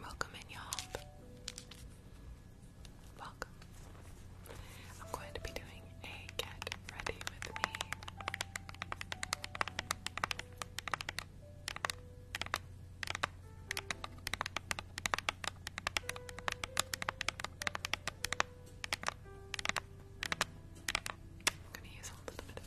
Welcome in, y'all. Welcome. I'm going to be doing a get ready with me. I'm going to use a little bit of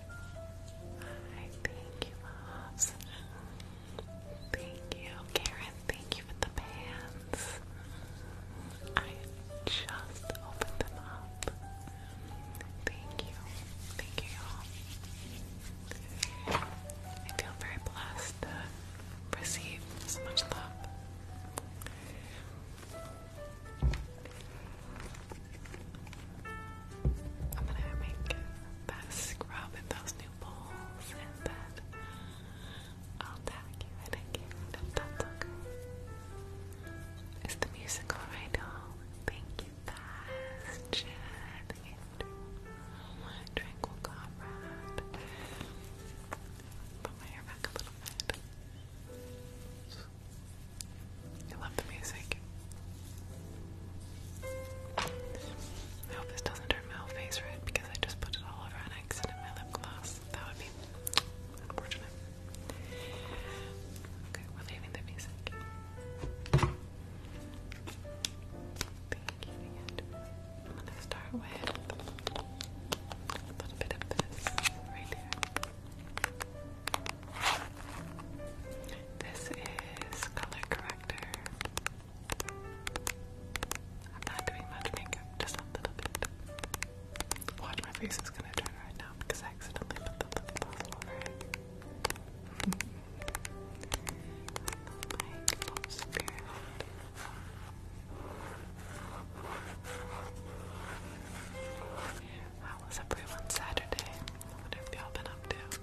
Hi, thank you, Mobs. Thank you, Karen. Thank you for the pants. I just opened them up. Thank you. Thank you all. I feel very blessed to receive so much love. I'm gonna make that scrub in those new bowls and then I'll tag you in again if that's okay. It's the musical right now. Thank you guys, Chad, Andrew, Tranquil Comrade. Put my hair back a little bit. I love the music. I hope this doesn't turn my face red because I just put it all over on accident my lip gloss. That would be unfortunate. Okay, we're leaving the music. I'm gonna start with a little bit of this right here. This is color corrector. I'm not doing much makeup, just a little bit. Watch my face is gonna turn right now because I accidentally put the lip gloss over it. my love spirit. How was everyone Saturday? I wonder y'all been up to.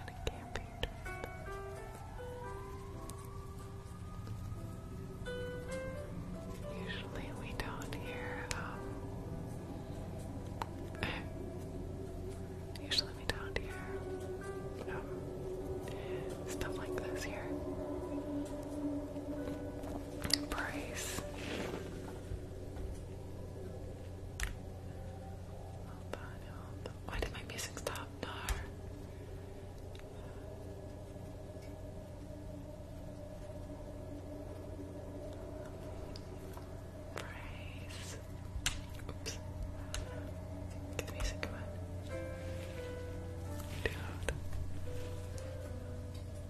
and a camping trip. Usually we don't hear, um, usually we don't hear, um, stuff like this here. Price. Hold on, why did my music stop? No. Praise. Oops. the music going. Dude.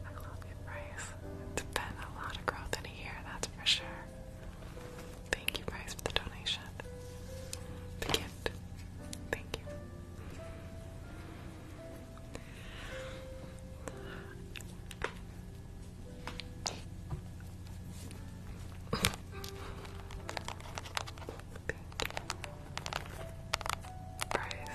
I love you, Bryce. It's been a lot of growth in a year, that's for sure. Thank you guys for the donation. The gift. Thank you. Price.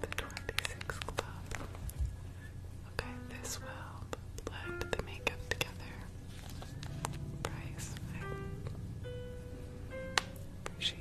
The twenty-six club. Okay, this will blend the makeup together. Price.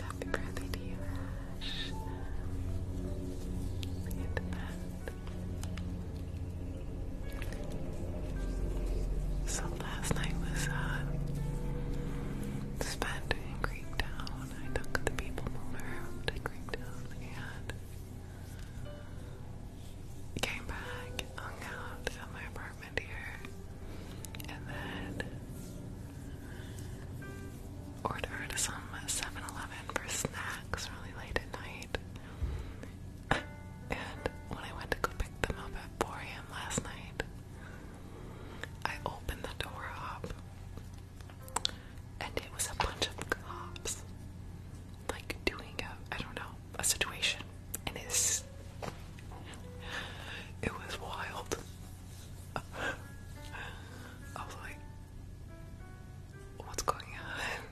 Happy birthday to you, So last night was uh, spent in Greektown. I took the people mover out to Greektown and came back, hung out at my apartment here. And then ordered some 7 Eleven for snacks really late at night. And when I went to go pick them up at 4 a.m. last night, I opened the door up and it was a bunch of cops like doing a I don't know, a situation and it's it was wild. I was like, what's going on?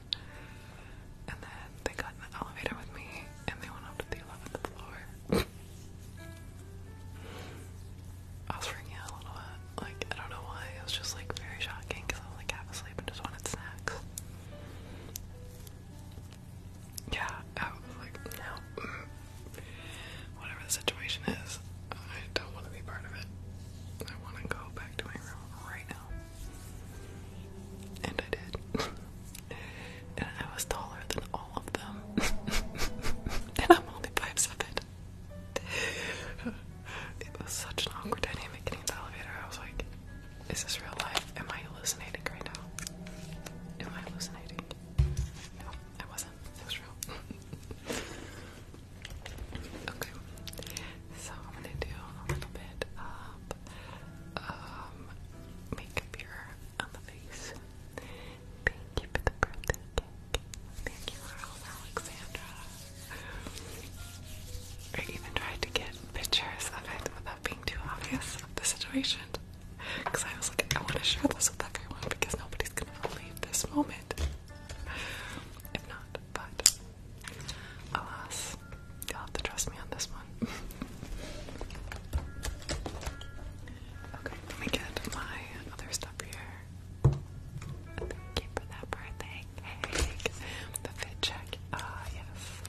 And then they got in the elevator with me and they went up to the 11th floor. I was freaking out a little bit. Like, I don't know why. It was just like very shocking because I was like half asleep and just wanted snacks yeah, oh, like, no. Whatever the situation is, I don't want to be part of it. I want to go back to my room right now. And I did. and I was taller than all of them. and I'm only 5'7. it was such an awkward dynamic getting the elevator. I was like, is this real life? Am I hallucinating right now? Am I hallucinating? No, I wasn't. It was real. okay, so I'm gonna do a little bit of um, makeup here on the face. Thank you for the birthday cake. Thank you, Alexandra. I even tried to get pictures of it without being too obvious of the situation. Because I was like, I want to share this with everyone because nobody's gonna believe this moment. If not, but alas, you'll have to trust me on this one. okay, let me get my other stuff here. Thank that birthday cake. The fit check. Ah, yes.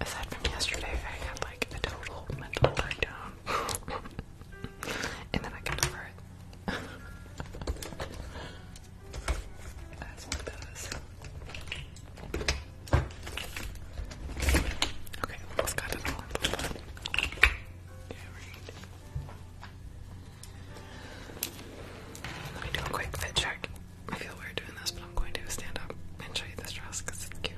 Aside from yesterday, I had like a total mental breakdown. and then I got over it. That's what does. Okay, let got it Let me do a quick fit check. I feel weird doing this, but I'm going to stand up and show you this dress because it's cute.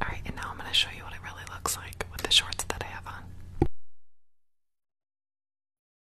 Alright, and now I'm going to show you what it really looks like with the shorts that I have on.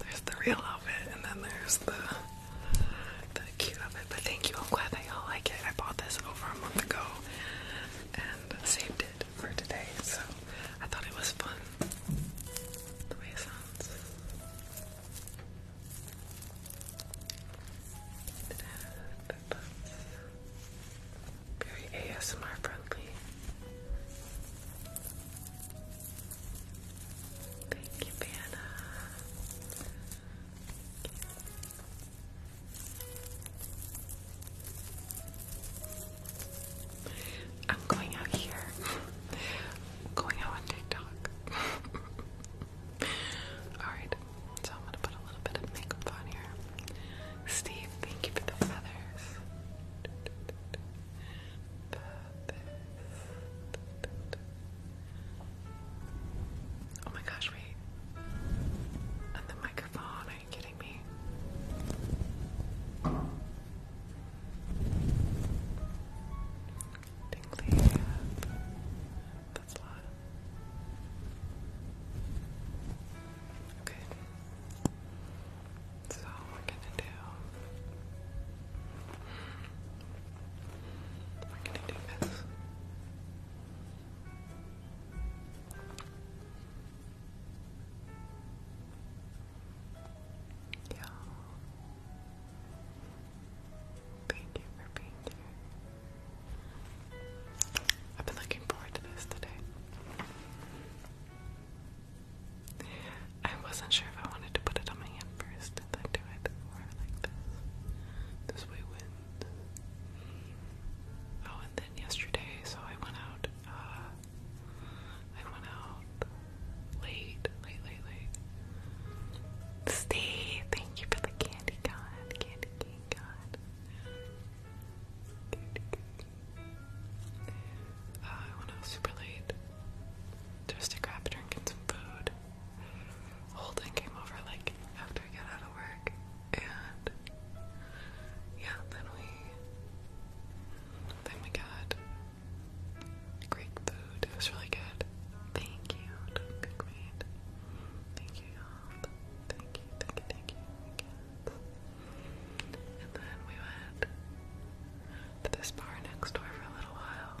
There's the real outfit, and then there's the the cute outfit. But thank you, I'm glad that y'all like it. I bought this over a month ago and saved it for today, so I thought it was fun. The way it sounds. Very ASMR friendly. Thank you, Vanna. I'm going out here. going out on TikTok. Alright, so I'm gonna put a little bit of makeup on here. Steve, thank you for the feathers. Feathers. Oh my gosh, wait. And the microphone, are you kidding me? Tingly. That's a Okay. So we're gonna do we're gonna do this. Yeah. Thank you for being here. I've been looking forward to this today. I wasn't sure if I wanted to put it on my hand first then do it or like this. This way wins. Oh, and then yesterday, so I went out, uh, I went out late, late, late, late. thank you for the candy gun, candy. Oh, I went out super late just to grab some food. Holden came over like after I got out of work, and yeah, then we then we got Greek food. It was really good. Thank you, Duncan Green. Thank you, Thank you, And then we went to this bar next door for a little while.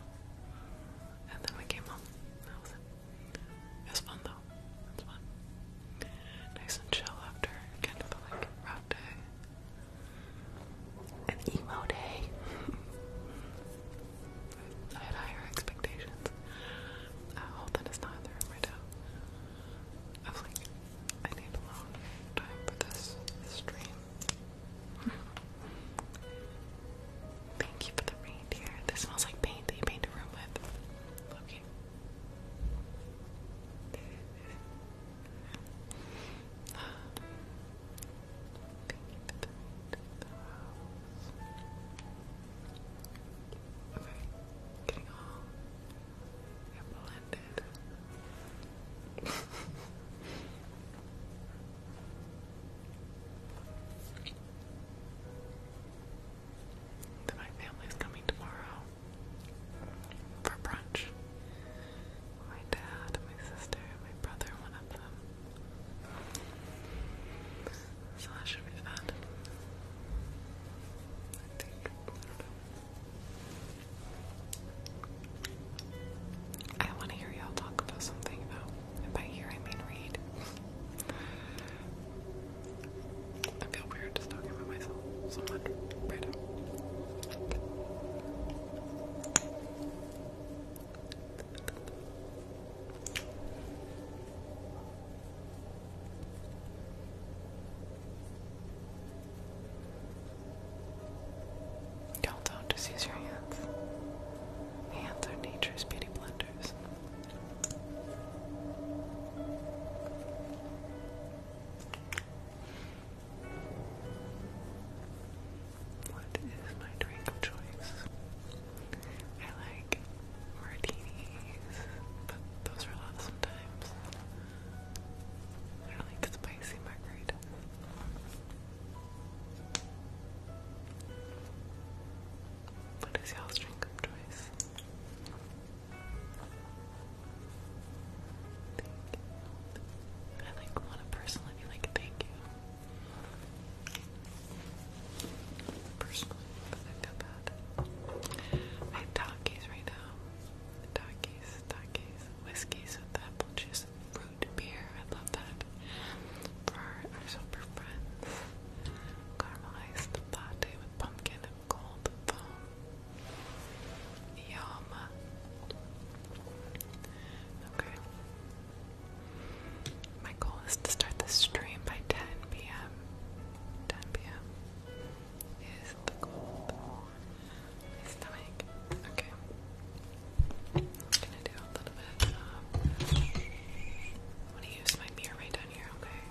And then we came home. it. was fun though. It fun. Nice and chill after kind of a like rough day. An emo day. I had higher expectations. I uh, hope that it's not there right now. I was like, I need alone time for this stream. Thank you for the reindeer. This smells like paint that you paint room with. Okay. Okay, getting all blended. then my family's coming tomorrow for brunch. My dad, my sister, my brother, one of them. So that should be that. I think. I want to hear y'all talk about something though. by hear I mean read. I feel weird just talking about myself so much right don't do use your hands. Hands are nature's beauty blenders. What is my drink of choice? I like martinis, but those are loud sometimes. I like spicy margaritas. What is y'all's drink of choice? I like want a person be like, thank you personally, I feel bad. I have right now. Takis, Takis, whiskeys with apple juice, fruit beer. I love that. For our super friends, caramelized latte with pumpkin and gold foam. Yum. Okay. My goal is to start the stream by 10 p.m. 10 p.m. is the cold. My stomach. Okay. I'm gonna do a little bit I'm gonna use my mirror right down here, okay?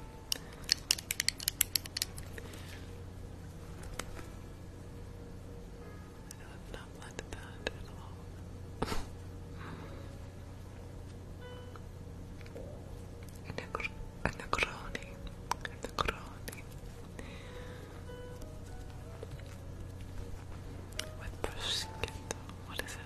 I would not let that at all. A necro a necroni. A necroni. With prosciutto. What is it?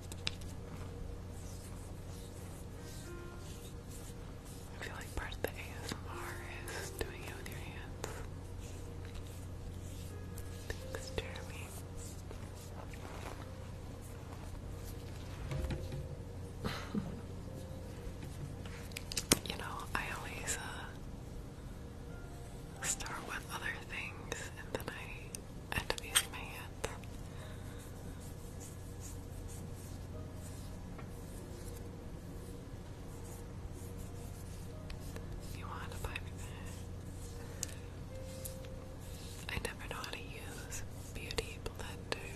I feel like part of the ASMR is doing it with your hands. Thanks, Jeremy. you know, I always uh, start with other things and then I end up using my hands. You want to buy me I never know how to use beauty blenders.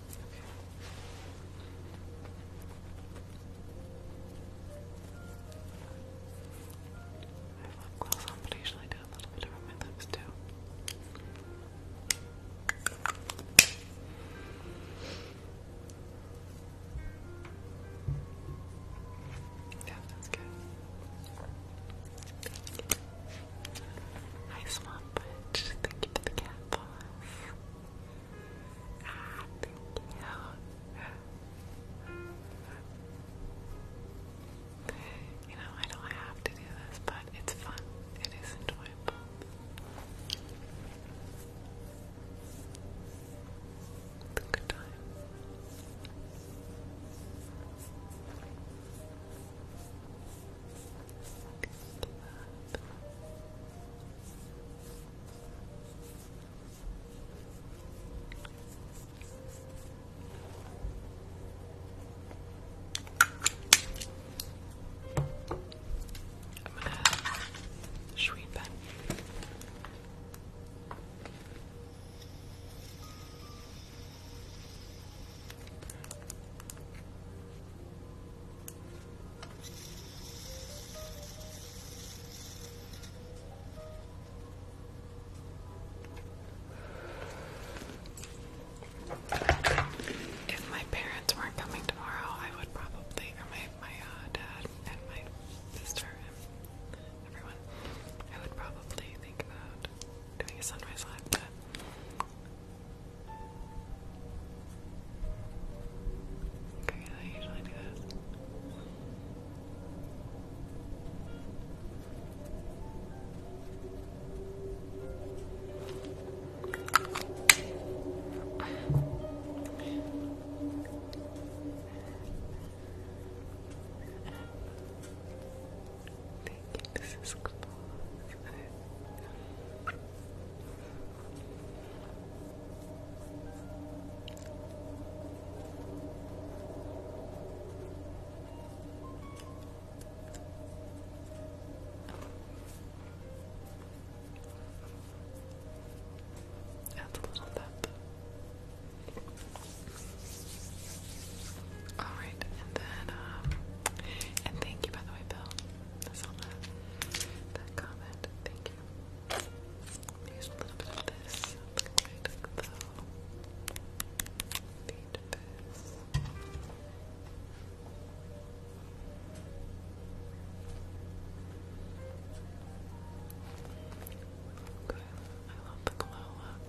I have lip gloss I usually do a little bit around my too. Yeah, that's good. Hi Swamp Witch, thank you for the cat ah, You know, I don't have to do this, but it's fun. It is enjoyable. It's a good time. I'm gonna sweep that. If my parents weren't coming tomorrow, I would probably, or my my uh, dad and my sister and everyone, I would probably think about doing a sunrise live. Great, I usually do this like a little bit. Alright, and then, um, and thank you by the way, Bill that, comment. Thank you. use a little bit of this. Liquid glow. Beat this. I love the glow look.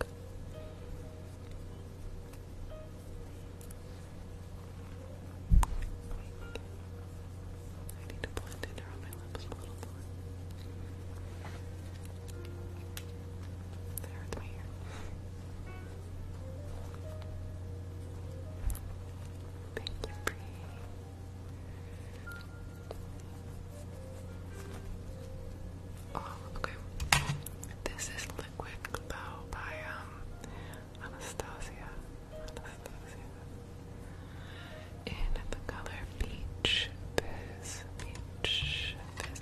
I need to blend it around my lips a little more. That hurts my Thank you, Bree. Oh, okay. This is Liquid Glow by um Anastasia, in the color peach, peach, peach.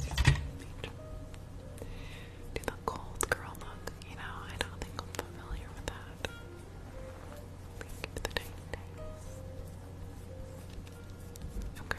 Do the cold girl look, you know, I don't think I'm familiar with that. Okay.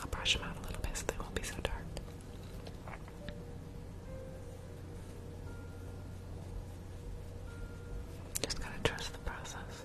I'll brush them out a little bit so they won't be so dark. Just gotta trust the process.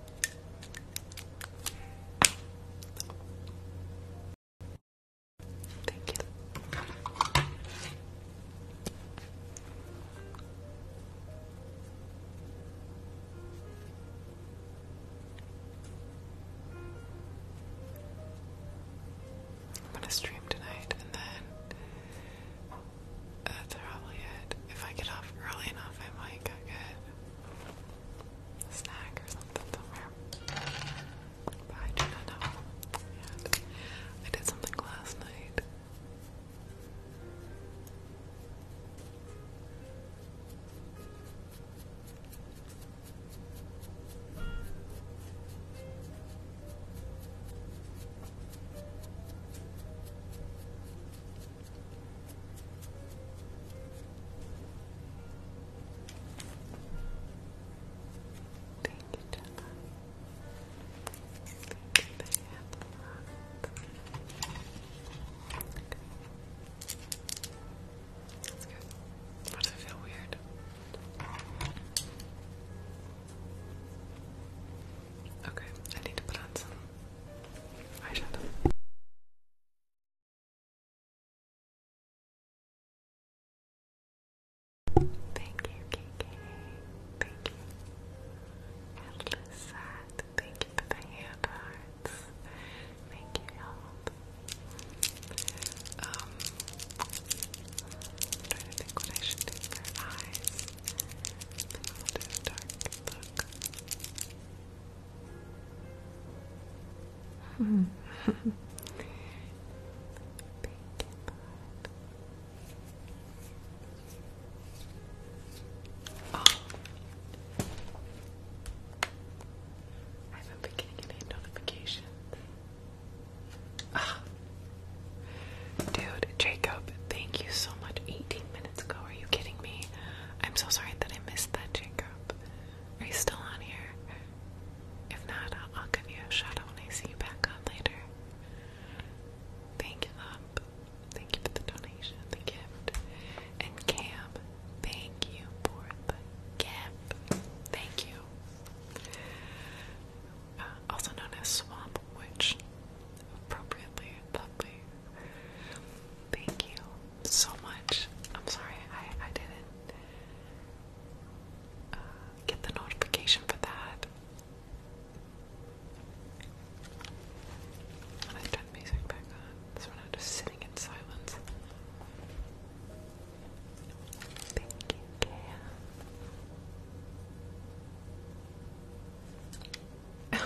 Thank you. I'm gonna stream tonight and then uh, that's probably it. If I get off early enough, I might get snack or something somewhere. But I do not know yet. I did something last night. Thank you, Thank you, That's good. does it feel weird? Okay, I need to put on some eyeshadow. Thank you, KK. Thank you. Atlas Sad. Thank you for the hand Thank you, you Um, trying to think what I should do for eyes. I think a dark look oh. I haven't been getting Ah. Dude, Jacob, thank you so much. 18 minutes ago, are you kidding me? I'm so sorry that I missed that, Jacob. Are you still on here? If not, I'll, give you a shout out when I see you back on later. Thank you, Lump. Thank you for the donation, the gift. And Cam, thank you for the gift. Thank you. Uh, also known as Swamp Witch. Appropriately lovely. Thank you so much. I'm sorry, I, I didn't uh, get the notification for that. I'm going music back on. So we're not just sitting in silence. Thank you,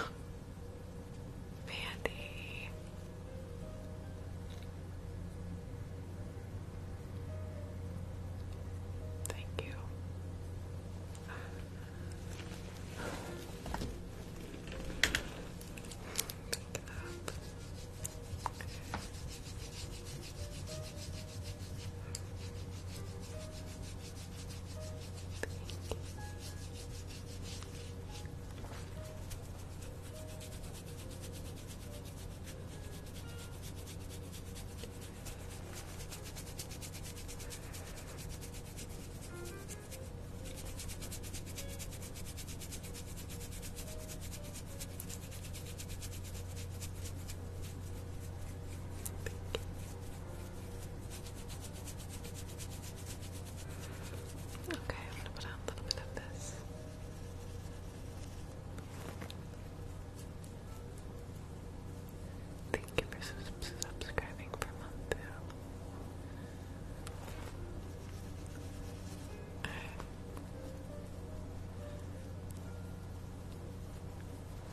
Mandy. Thank you. Pick up. Thank you. Okay, I'm gonna put a little bit of this. Thank you for subscribing for month two.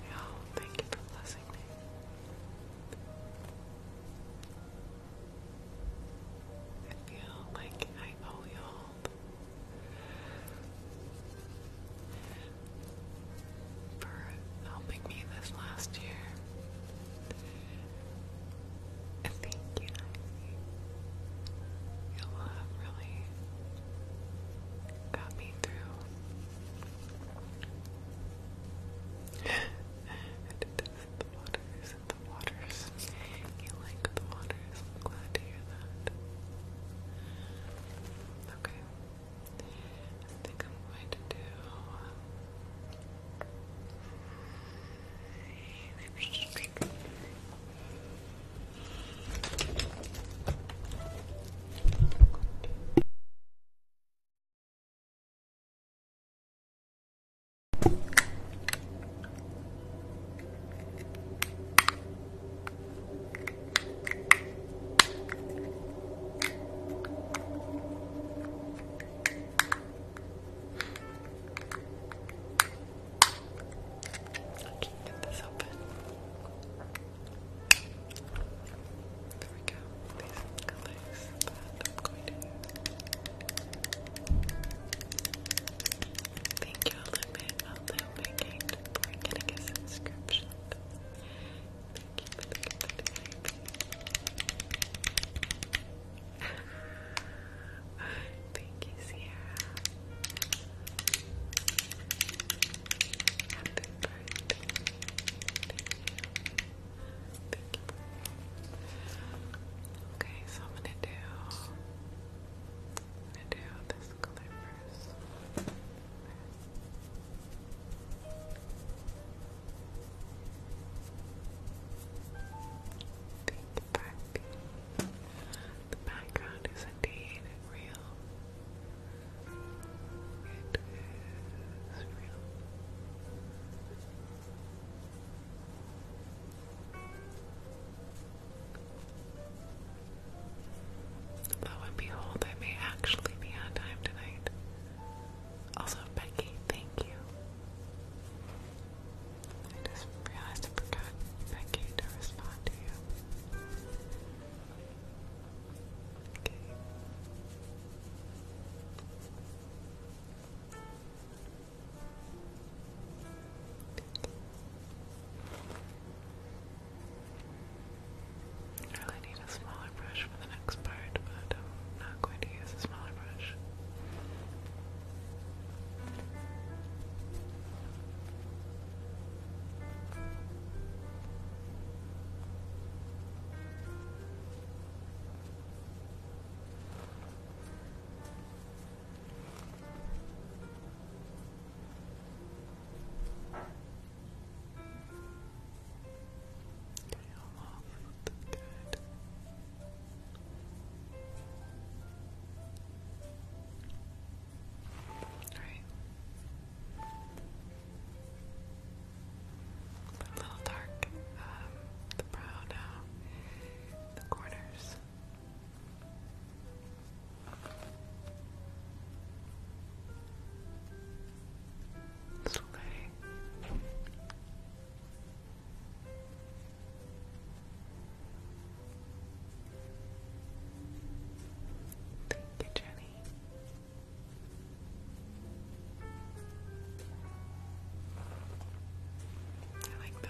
Yo, thank you for blessing me. I feel like I owe y'all. For helping me this last year. And thank you, Ivy. Y'all have really got me through. I did this the waters the waters. You like the waters. glad to hear that. Okay. I think I'm going to do. Um, can't get this open. There we go. These colors that I'm going to use. Thank you, Olympic, Olympic, for getting a subscription. Thank you Thank you, Sierra. Happy birthday. Thank you. Okay, so I'm gonna do I'm going this color first. back. The background is indeed real. It is real. Lo and behold, I may actually be on time tonight. Also, Becky, thank you. I just realized I forgot, Becky, to respond to you. Okay. I really need a smaller brush for the next part, but I'm not going to use a smaller brush. Tail off looking good. All right. a little dark, um, the brow now, the corners. Slay. Thank you, Jenny. I like that.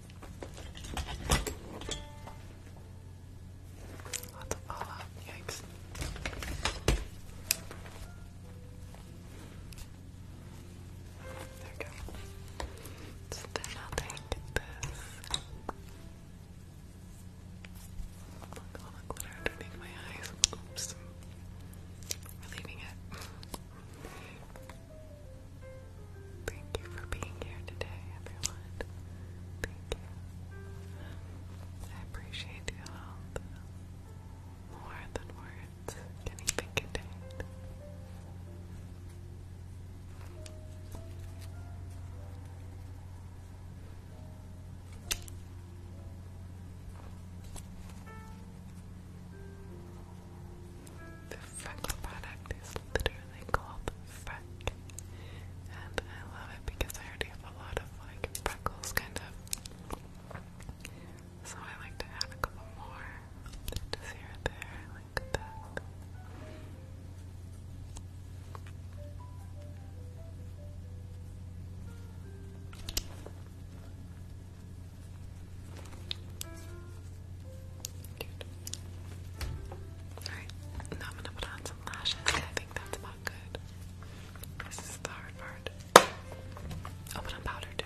Lots of go. then I'll take this. Oh look, all the glitter underneath my eyes. Oops. We're leaving it. Thank you for being here today, everyone. Thank you. I appreciate you all more than words can even contain. The Freck product is literally called Freck. And I love it because I already have a lot of like freckles kind of. So I like to add a couple more. Just here there, like that. Alright, now I'm gonna put on some lashes. I think that's about good. This is the hard part. I'll oh, put on powder too.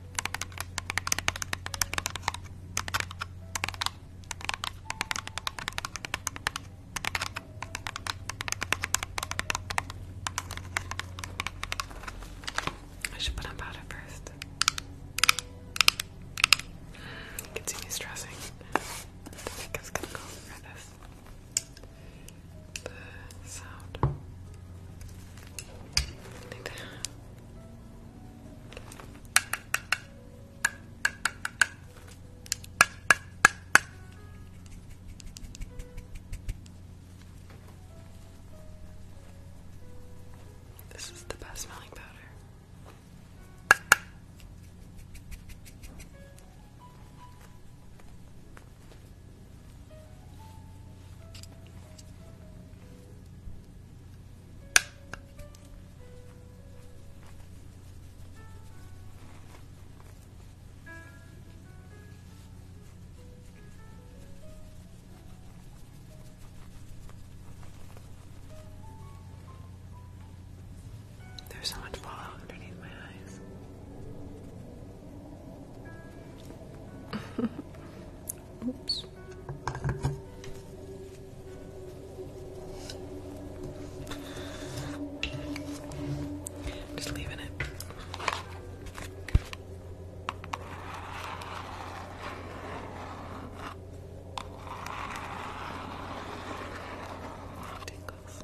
I should put on powder first. Continue stressing. I think it's gonna go for this. The sound. I this is the best smelling powder. There's so much fallout underneath my eyes. Oops. Just leaving it. Tingles.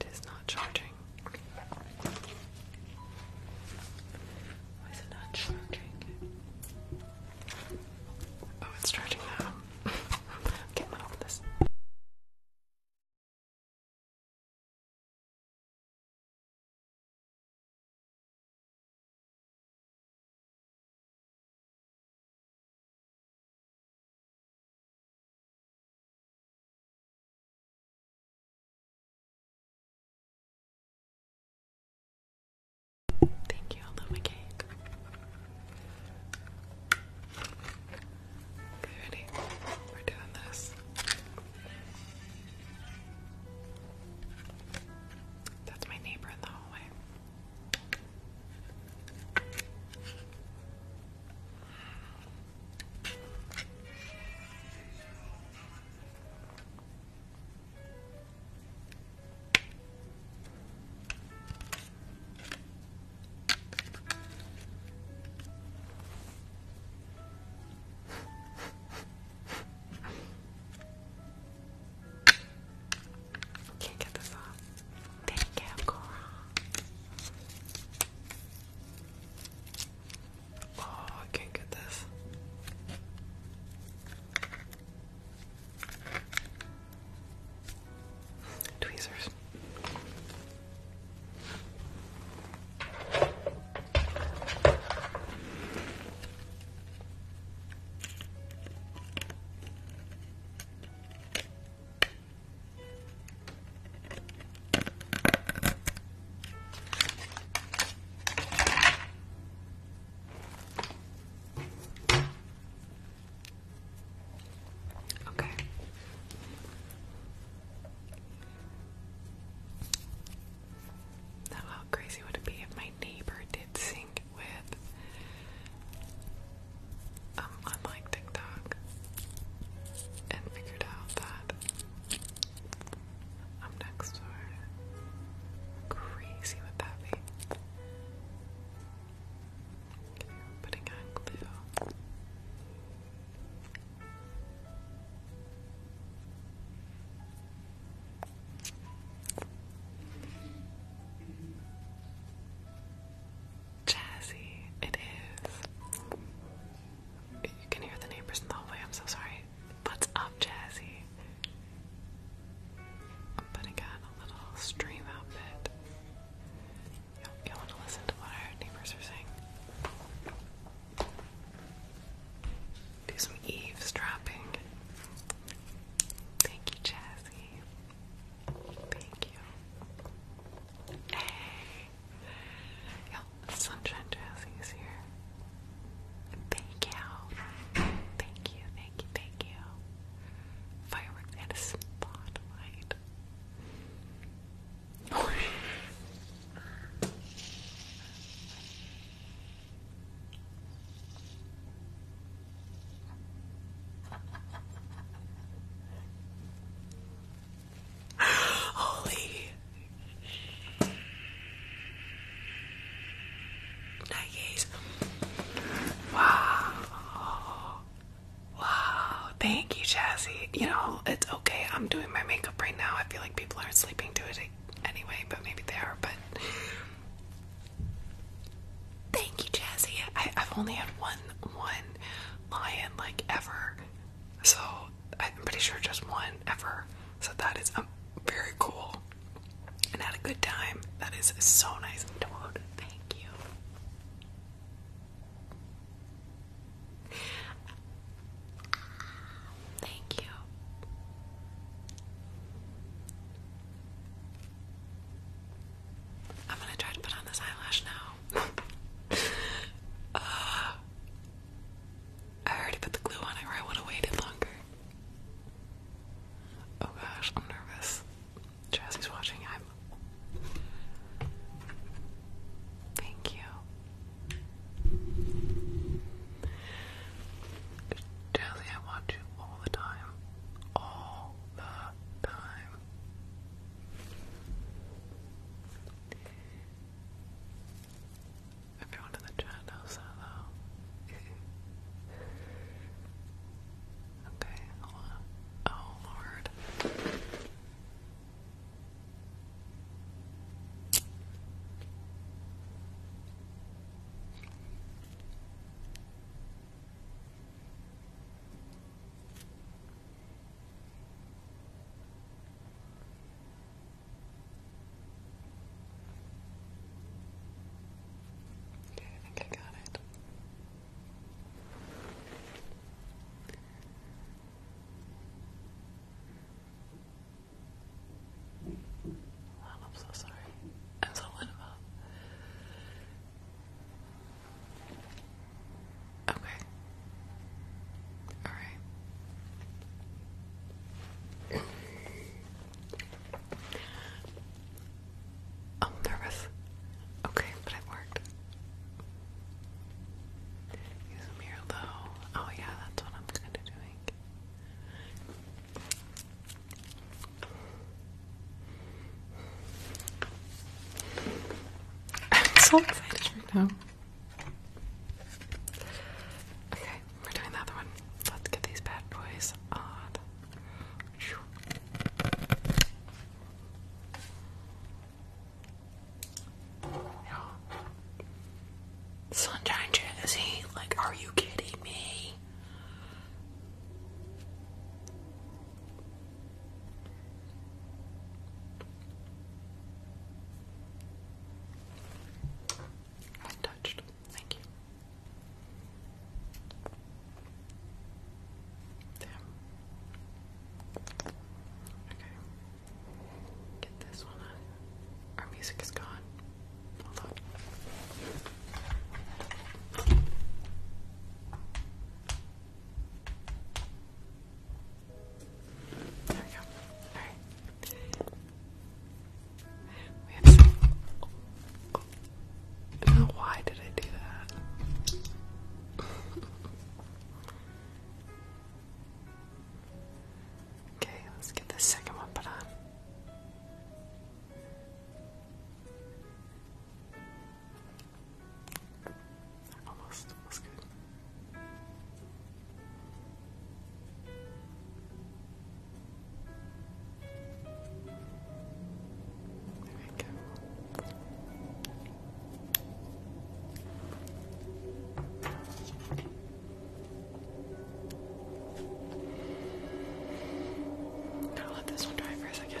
It is not charging. Why is it not charging? Oh, it's charging now. okay, I'm open this. Thank you, I love my cake. Okay, ready? We're doing this. That's my neighbor in the hallway. Can't get this off. Oh, I can't get this. Tweezers. Okay. Now, how crazy would it be if my neighbor did sync with um, unlike TikTok, and figured out that I'm next door. Crazy with that vape. putting on glue jazzy it is. You can hear the neighbors in the hallway, I'm so sorry. What's up, Jazzy? I'm putting on a little stream outfit. you want to listen to what our neighbors are saying? Do some eavesdropping. Thank you, Jazzy. Thank you. Hey. Sunshine Jazzy is here. Thank you. Thank you, thank you, thank you. Fireworks and a spotlight. Holy Nikes. Wow. Wow. Thank you, Chassie. You know, it's okay. I'm doing my makeup right now. I feel like people aren't sleeping to it anyway, but maybe they are, but Thank you, Jazzy. I've only had one one lion like ever. So I'm pretty sure just one ever. So that is a um, very cool. And had a good time. That is so nice, Toad. Thank you. Thank you. I'm gonna try to put on this eyelash now. I already put the glue on it, or I would have waited longer. Oh gosh, I'm nervous. Jazzy's watching. I'm. Thank you. Jazzy, I watch you all the time. All the time. Everyone in the chat knows okay, hold on. Oh lord. Okay, I think I got it. Oh, I'm so sorry. I'm so lit up. Okay. All right. Oh, I'm nervous. Okay, but it worked. Use a mirror though. Oh yeah, that's what I'm kind of doing. I'm so excited right now. Okay, we're doing the other one. Let's get these bad boys on. Sunshine Genesee? Like, are you kidding me? i touched. Thank you. Damn. Okay. Get this one on. Our music is gone. Hold on. There we go. Alright. We have some... why did I do that? okay, let's get this second one put on. Almost. That's good. There we go. Now let this one dry for a second.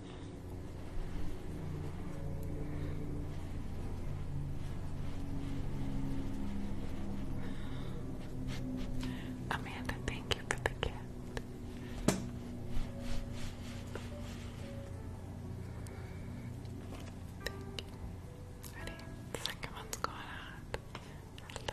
Amanda, thank you for the gift. Ready? Second one's going out. Hello.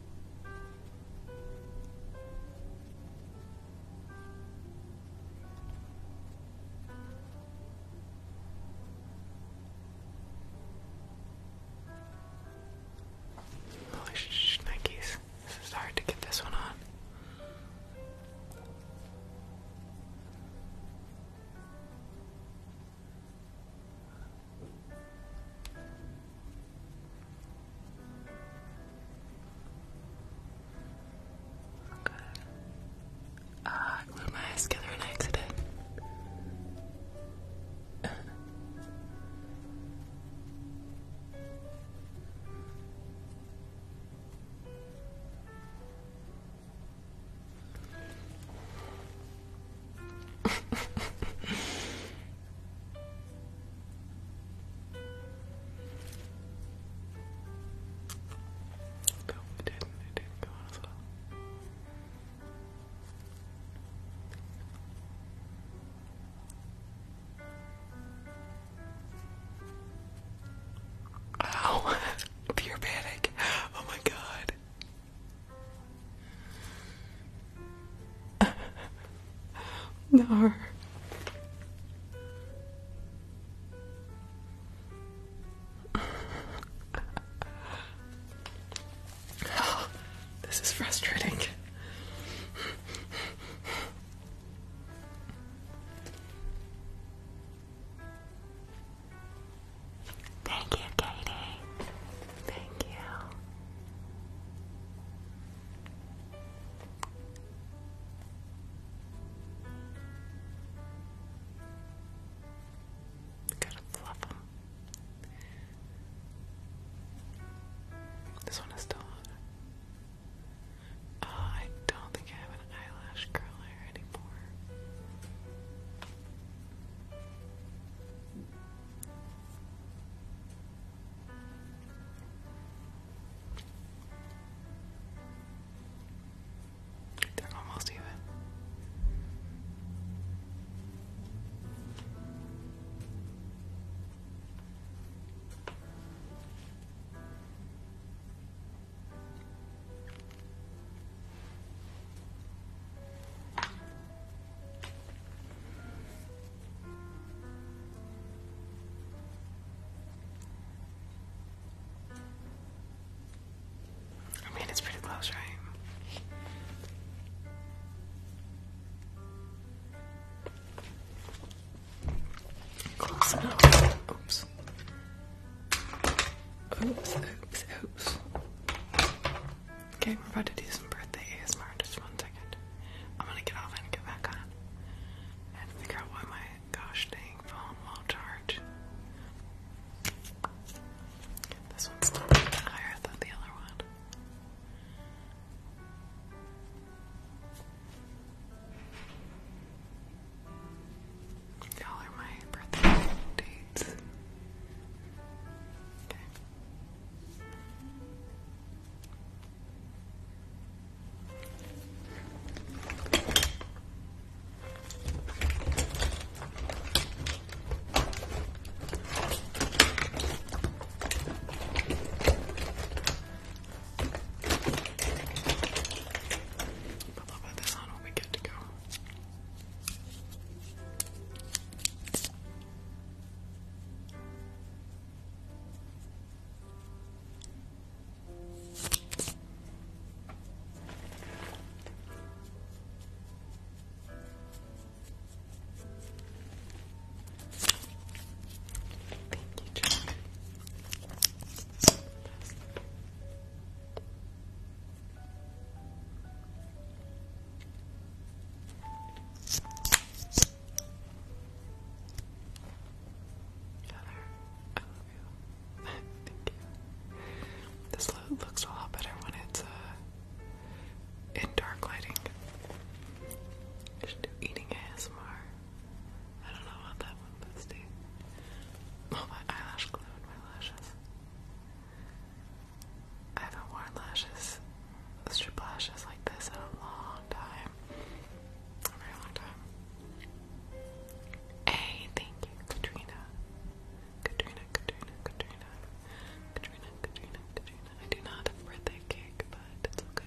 Holy oh, shnikes, this is hard to get this one on. Okay. I uh, glued my eyes together and I exited no, it go on as Pure panic. Oh my god. No. this is frustrating. Thank you, Katie. Thank you. Gotta fluff This one is still on. Uh, I don't think I have an eyelash curler anymore. They're almost even. I mean, it's pretty close, right? Close enough. Oops. Oops, oops, oops. Okay, we're about to do some birthday ASMR. Just one second. I'm gonna get off and get back on. and figure out why my gosh dang phone won't charge. This one's a little bit higher than the other one. Y'all are my birthday dates. But I'll put this on when we get to go. Thank you, John. Heather, I love you. Thank you. This looks a lot better when it's uh, in dark lighting. I should do I don't know about that one, but Oh, my eyelash glue in my lashes. I haven't worn lashes, strip lashes like this in a long time. A very long time. Hey, thank you, Katrina. Katrina, Katrina, Katrina. Katrina, Katrina, I do not have birthday cake, but it's okay.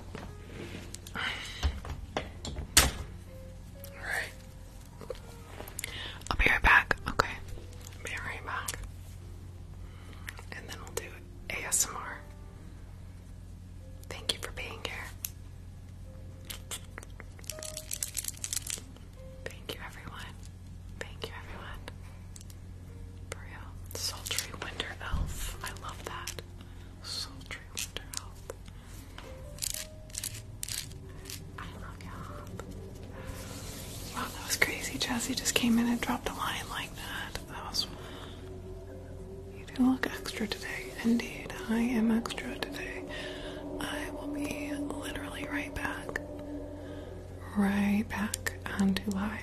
I'll be right back. Okay. be right back. And then we'll do ASMR. Thank you for being here. Thank you, everyone. Thank you, everyone. For Sultry Winter Elf. I love that. Sultry Winter Elf. I love you Wow, that was crazy. Jazzy just came in and dropped a line like that. That was. You do look extra today. Indeed, I am extra today. I will be literally right back. Right back onto live.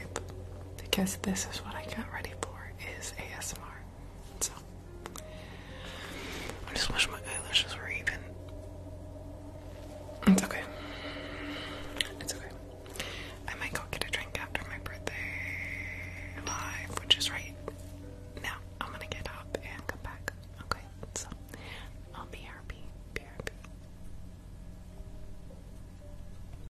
Because this is what I got ready for is ASMR. So I just wish my eyelashes were even. It's okay. It's okay. I might go get a drink after my birthday live, which is right now. I'm gonna get up and come back. Okay, so I'll be happy. Be